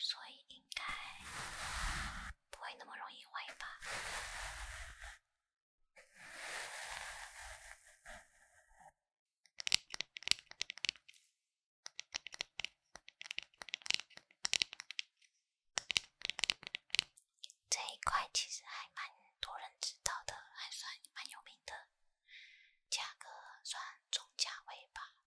所以应该不会那么容易坏吧？这一块其实还蛮多人知道的，还算蛮有名的，价格算中价位吧。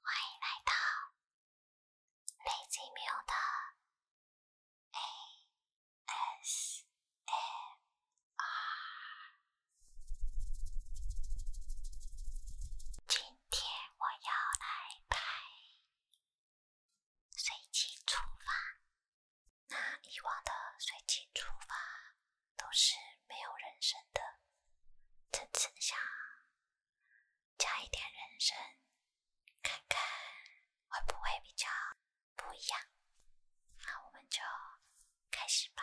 欢迎来到雷吉缪的 A S A R。今天我要来拍随机出发。那以往的随机出发都是没有人生的，这次想加一点人声，看看会不会比较不一样。那我们就开始吧。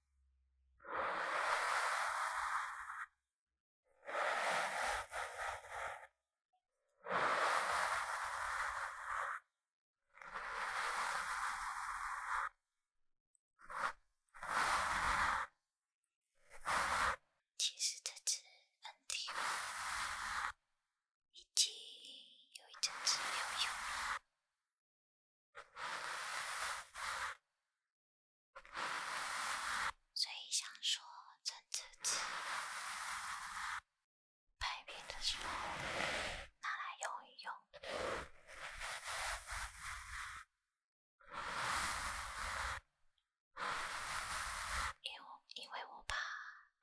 其实这支 a n t 已经有一阵子没有用了。所以想说，趁这次拍片的时候拿来用一用，因因为我怕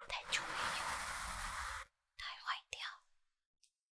太久没用，太坏掉。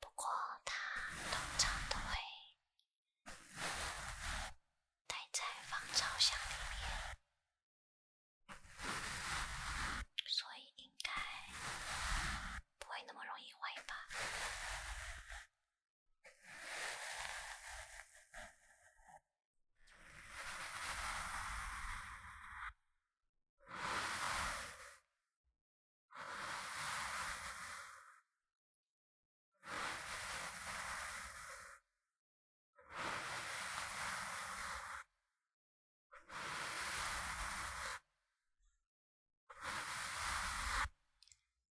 不过它通常都会待在防潮箱里面，所以应该不会那么容易坏吧。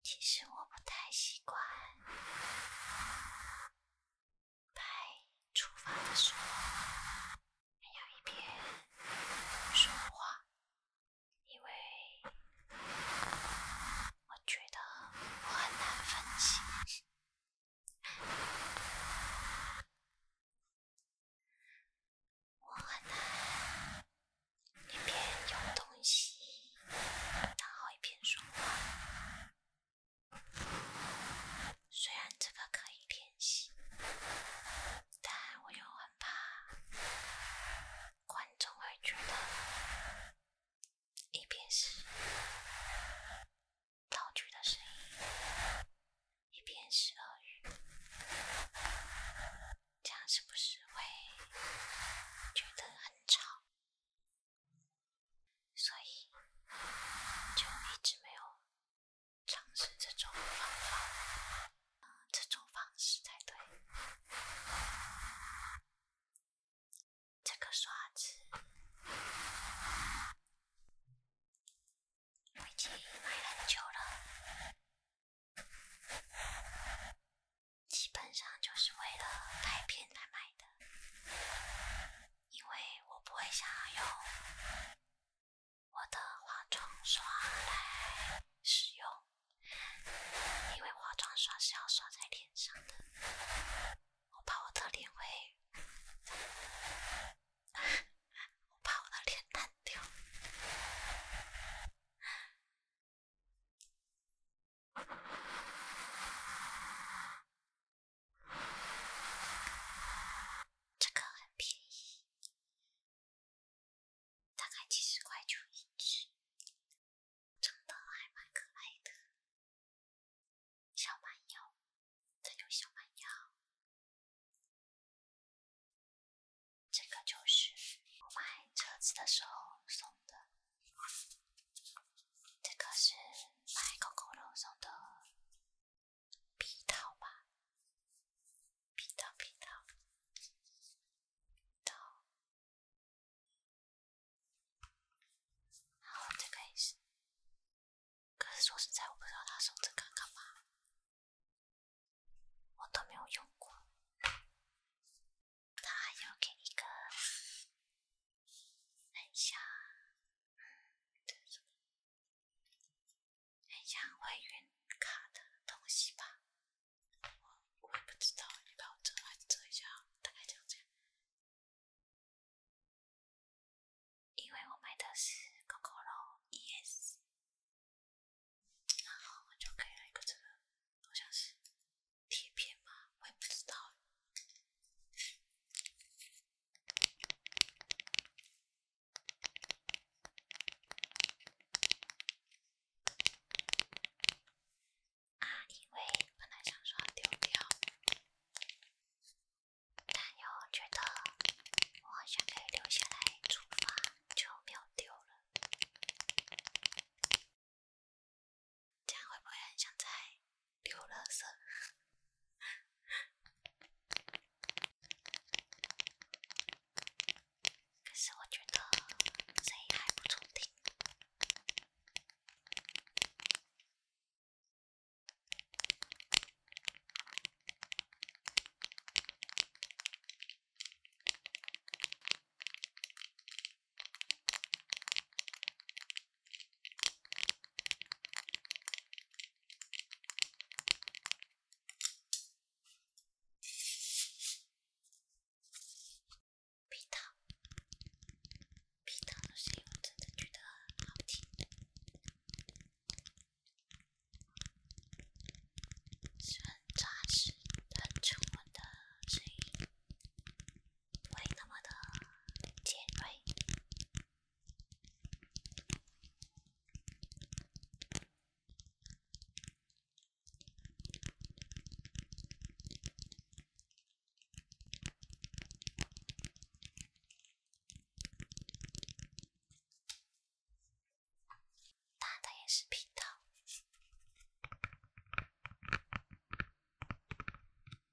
其实我不太习惯。在出发的时候，还要一边说话，因为我觉得我很难分清。我很难一边有东西，然后一边说话。虽然这个可以练习，但我又很怕观众会觉得一边是道具的声音，一边是鳄鱼。这样是不是会觉得很吵？所以，就一直没有尝试这种方法。这种方式才对。这个刷子我已经买很久了，基本上就是为了拍片来买的。因为我不会想要用我的化妆刷来使用，因为化妆刷是要刷在脸上的，我怕我的脸会，我怕我的脸烂掉。这个很便宜，大概几十块就一只，长得还蛮可爱的，小蛮腰，这种小蛮腰。这个就是我买车子的时候送的。这个是买狗狗肉送的皮套吧？皮套，皮套，套。然后这个也是。可是说实在，我不知道他送这个干嘛，我都没有用过。他还又给一个。很像，嗯，很像会员卡的东西吧？我我也不知道，你帮我遮，来是遮一下？大概讲讲，因为我买的是 c o c o l ES，然后我就可以来一个这个，好像是贴片吗？我也不知道。啊，因为本来想说丢掉，但又觉得我还可以留下来，出发就没有丢了。这样会不会很像在？流了色，可 是我觉得谁还不错听。皮糖，皮糖的声音我真的觉得很好听，是很扎实的、很沉的声音，没那么的尖锐。打的也是平套。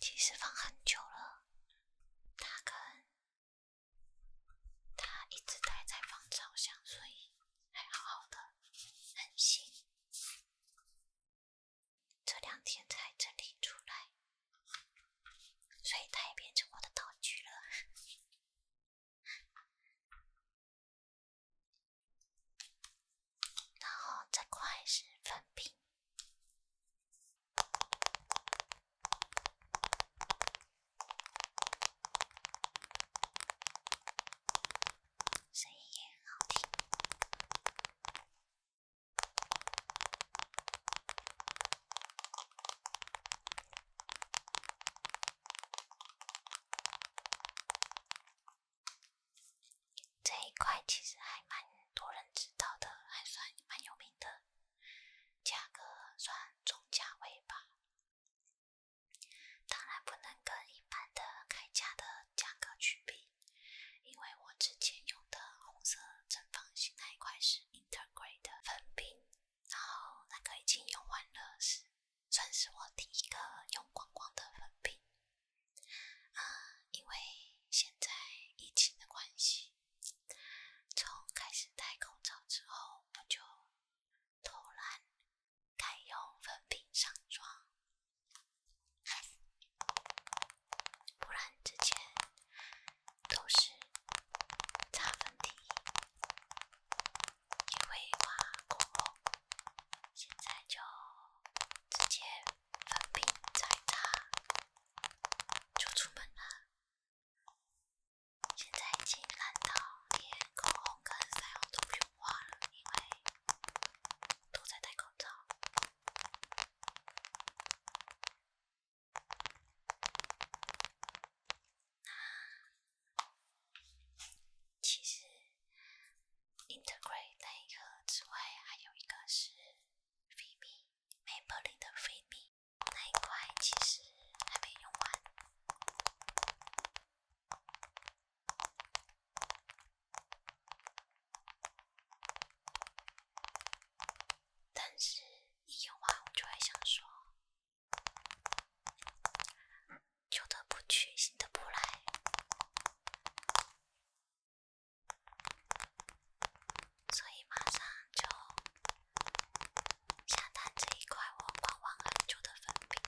其实放很久了，他跟它一直待在芳草香，所以还好好的，很新。这两天才整理出来，所以它也变成我的道具了。然后这块是粉饼，声音也很好听。这一块其实还蛮多人知道的，还算蛮有名的，价格算中价位吧。当然不能跟一般的开价的价格去比，因为我之前用的红色正方形那一块是 Integrate 的粉饼，然后那个已经用完了，是算是我第一个用光光的粉饼。啊，因为现在疫情的关系，从开始戴口罩之后，我就偷懒改用粉饼上妆，不然之前都是擦粉底，因为怕过后现在就直接。粉饼彩打就出门了，现在已经懒到连口红跟腮红都不用画了，因为都在戴口罩。那其实。Integrate 那一之外，还有一个是 Vim，MacBook 里的 Vim 那一块，其实还没用完。但是，一用完，我就会想说，旧的不去，新的不来。所以马上就下单这一块我盼望很久的粉饼。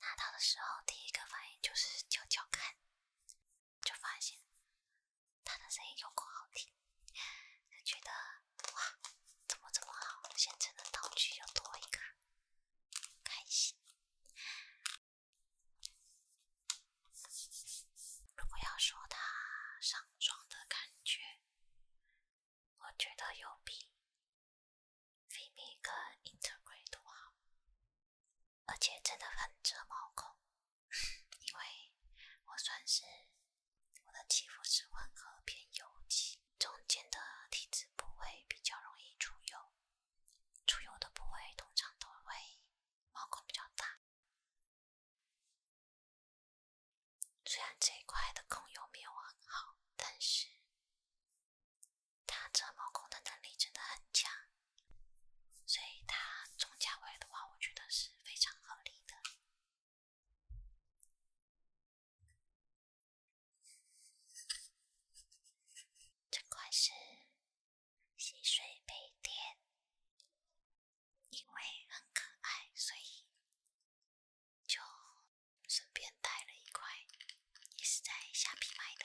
拿到的时候，第一个反应就是敲敲看，就发现他的声音有够好听，觉得。哇，怎么这么好？先存的道具又多一个，开心。如果要说它上妆的感觉，我觉得有比菲 i v i n t e g r a t e 都好，而且真的很遮毛孔，因为我算是我的肌肤是混合偏油肌。中间的体质部位比较容易出油，出油的部位通常都会毛孔比较大。虽然这一块的控油没有很好，但是它遮毛孔的能力真的很强，所以它中价位的话，我觉得是非常合理的。这块是溪水杯垫，因为很可爱，所以就顺便带了一块，也是在虾皮买的。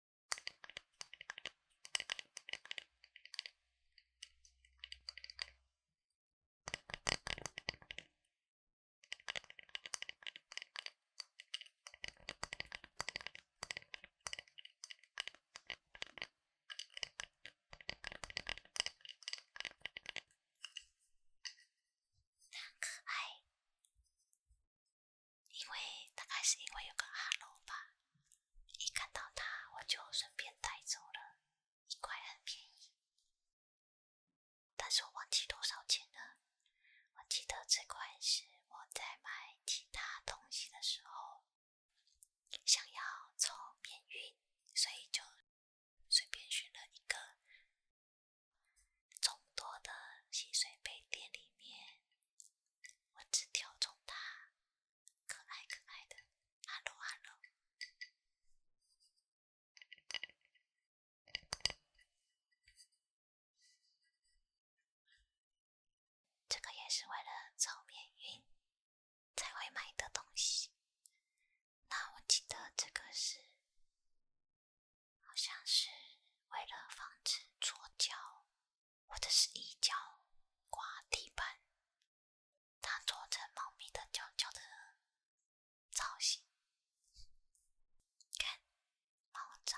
可爱，因为大概是因为有个阿罗吧。一看到它，我就顺便带走了，一块很便宜，但是我忘记多少钱了。我记得这块是我在买其他东西的时候，想要凑面运，所以就随便选了一个众多的洗水杯店里面，我只挑中它。可爱可爱的，哈喽哈喽，这个也是为了走面运才会买的东西。那我记得这个是，好像是为了防止搓脚。或者是一脚刮地板，它做成猫咪的脚脚的造型，看，猫爪。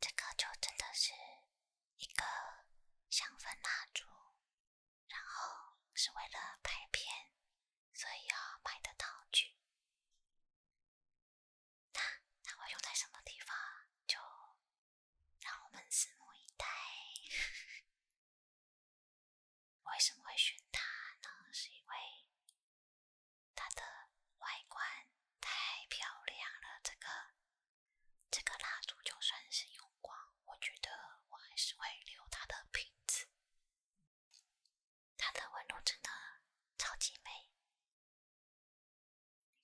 这个就真的是一个香氛蜡烛，然后是为了拍片，所以要买的道具。那那会用在什么地方，就让我们拭目以待。为什么会选它呢？是因为它的外观太漂亮了。这个这个蜡烛就算是用光，我觉得我还是会留它的瓶子。它的纹路真的超级美。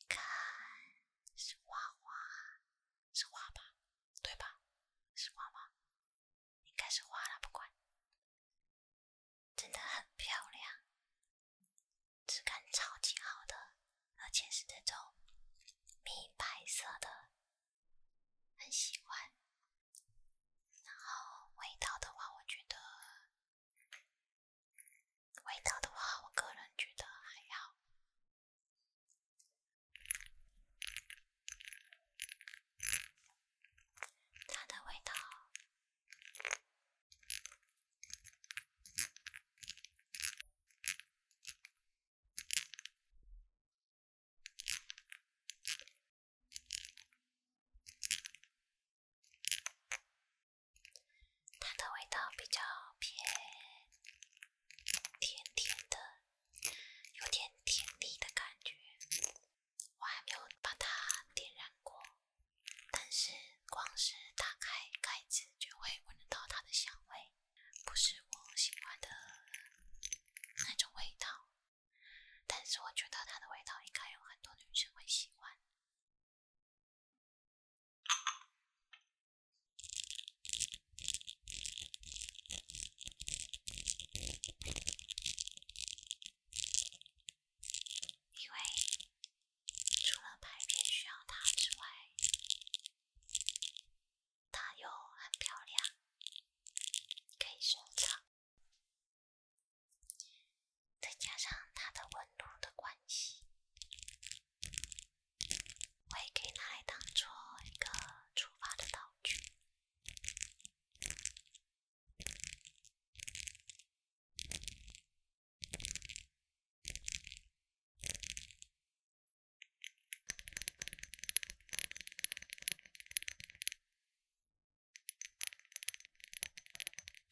看，是花花，是花吧，对吧？是花吧？应该是花了，不管。真的很漂亮，质感超级好的，而且是这种米白色的，很喜欢。然后味道的话，我觉得。味道的话，我个人觉得还要它的味道。它的味道比较偏甜甜的，有点甜腻的感觉。我还没有把它点燃过，但是光是打开盖子就会闻得到它的香味，不是我喜欢的那种味道。但是我觉得它的味道应该有很多女生会喜欢。因为除了排便需要它之外，它又很漂亮，可以收藏，再加上它的温度的关系。我也可以拿来当做一个出发的道具。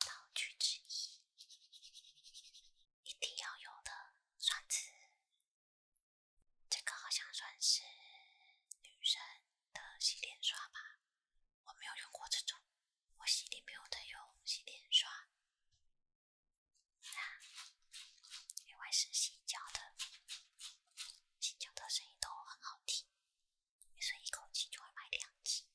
道具之一，一定要有的刷子。这个好像算是女生的洗脸刷吧，我没有用过这种，我洗脸没有的用洗脸刷。另外是新教的，新教的声音都很好听，所以一口气就会买两只。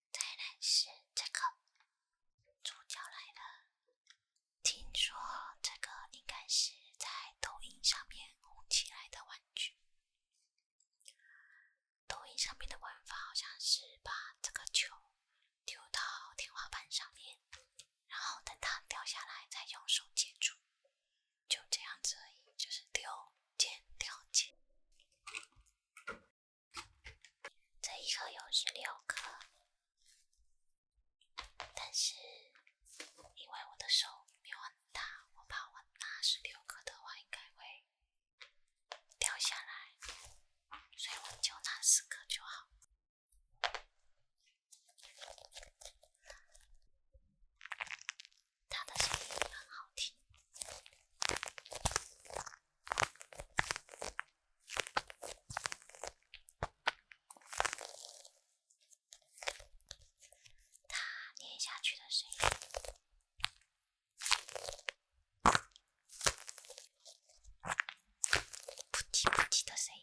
再来是这个，主角来了。听说这个应该是在抖音上面红起来的玩具。抖音上面的玩法好像是把这个球丢到天花板上面，然后等它掉下来再用手接住，就这样子而已，就是丢捡、掉捡。这一盒有十六颗，但是因为我的手没有很大，我怕我拿十六颗的话应该会掉下来，所以我就拿四颗就好。他的声音很好听，他念下去的声音，扑哧扑哧的声音。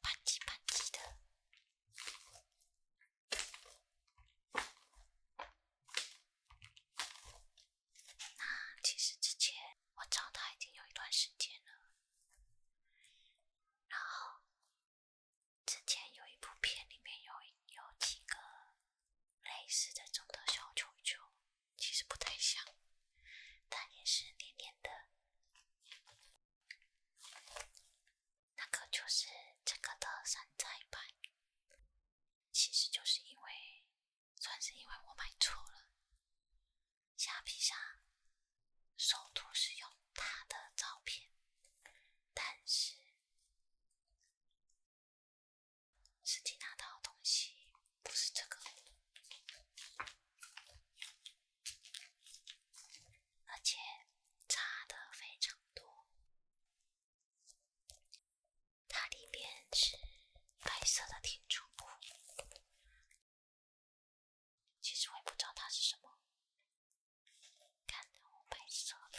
吧唧吧唧的。那其实之前我找他已经有一段时间了。然后之前有一部片里面有有几个类似的这种的小球球。其实不太像，但也是黏黏的。那个就是这个的山寨版，其实就是因为算是因为我买错了。虾皮上首图是用他的照片，但是实际拿到东西。不是这个，而且差的非常多。它里面是白色的填充物，其实我也不知道它是什么，看的我白色的。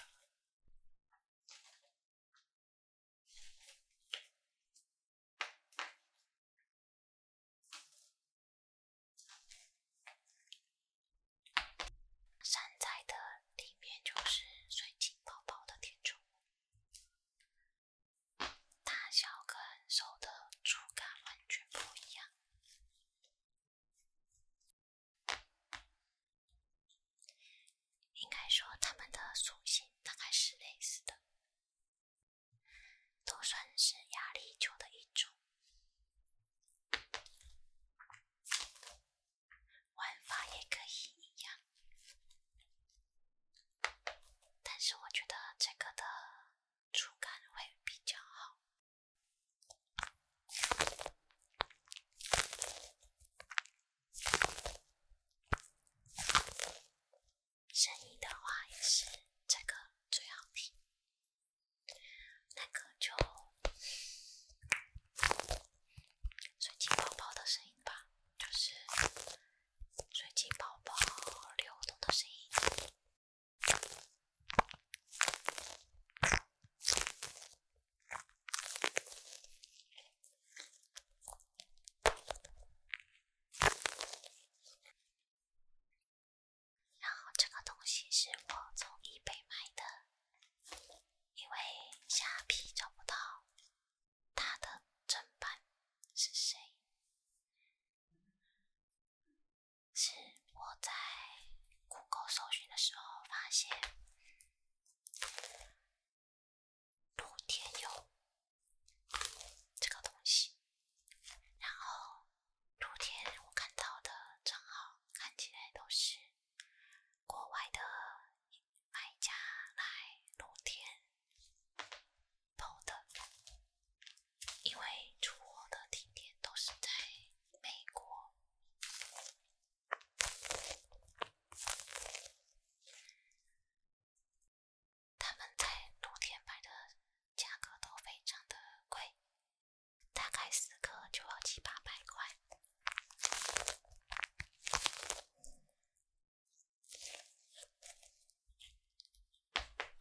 山寨的里面就是水晶泡泡的填充物，大小跟手的触感完全不一样，应该说它们的属性大概是类似的。都算是压力球的一种，玩法也可以一样，但是我觉得这个的触感会比较好。声音的话也是这个最好听，那个就水晶宝宝的声音吧，就是水晶宝宝流动的声音。然后这个东西是我从易贝买的，因为下皮找不到它的正版是谁，是我在 Google 搜寻的时候发现，土天佑。这个东西，然后露天我看到的账号看起来都是国外的买家来露天拍的，因为出货的地点都是在美国。他们在露天卖的，价格都非常的贵，大概四颗就要七八百块。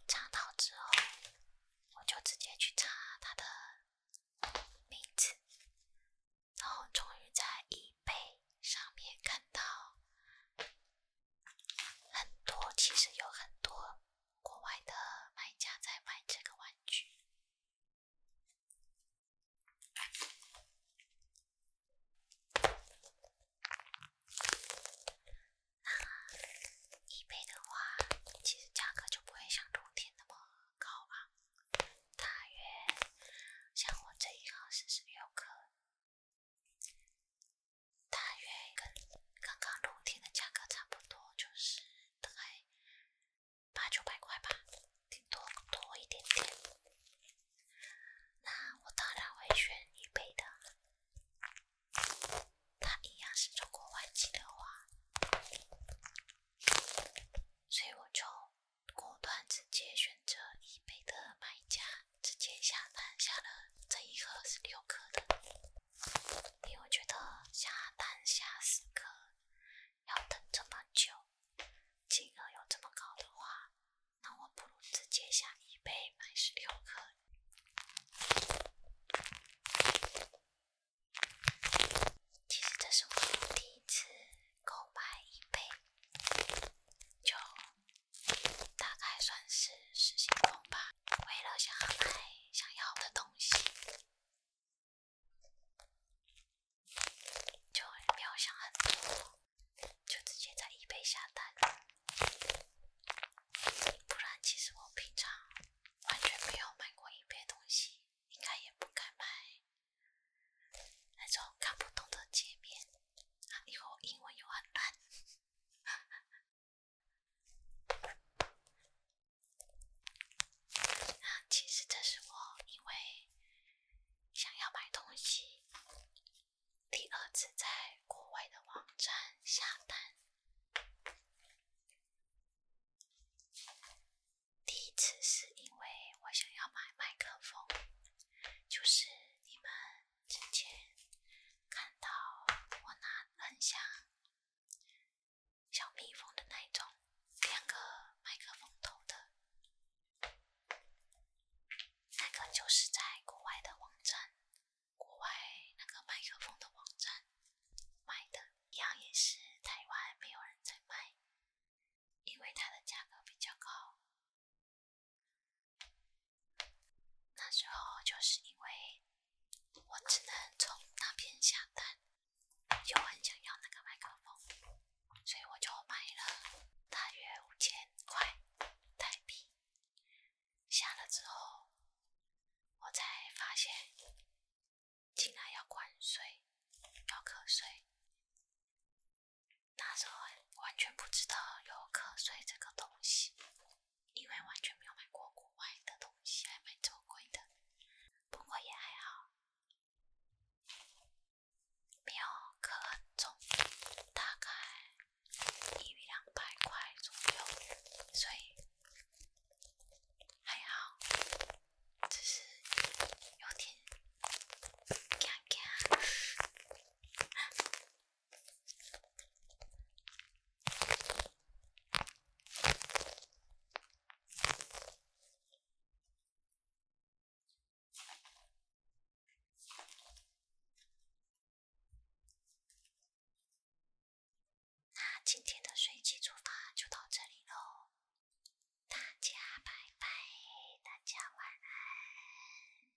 查到之后，我就直接去查他的名字，然后终于在易贝上面看到。很多，其实有很多国外的买家在买这个玩具。那一倍的话，其实价格就不会像冬天那么高昂，大约像我这一号是十六克。大约跟刚刚露天的价格差不多，就是大概八九百块吧，顶多多一点点。那我当然会选一倍的，它一样是中国外企的话，所以我就果断直接选择一倍的买家。直接下单下了这一盒是六克的，因为我觉得下单下十克要等这么久，金额又这么高的话，那我不如直接下一杯买十六克。其实这是我第一次购买一杯，就。大概算是失心疯吧。为了想买想要的东西，就没有想很多，就直接在易贝下单。不然，其实我平常完全没有买过易贝东西，应该也不敢买。那种看不懂的界面，啊，以后英文又很乱。其实这是我因为想要买东西第二次在国外的网站下单，第一次是因为我想要买麦克风，就是你们。之前看到我拿很像小蜜蜂的那一种，两个麦克风头的，那个就是在国外的网站，国外那个麦克风的网站卖的，一样也是台湾没有人在卖，因为它的价格比较高。那时候就是因为，我只能从那边下单，就很想要那个麦克风，所以我就买了大约五千块泰币。下了之后，我才发现竟然要关税，要课税。那时候完全不知道有瞌睡这个东西，因为完全没有买过国外的东西，还买这么贵的。不过也还好，没有可重，大概一两百块左右，所以还好，只是有点尴尬，那今天的随机出发就到这里喽，大家拜拜，大家晚安。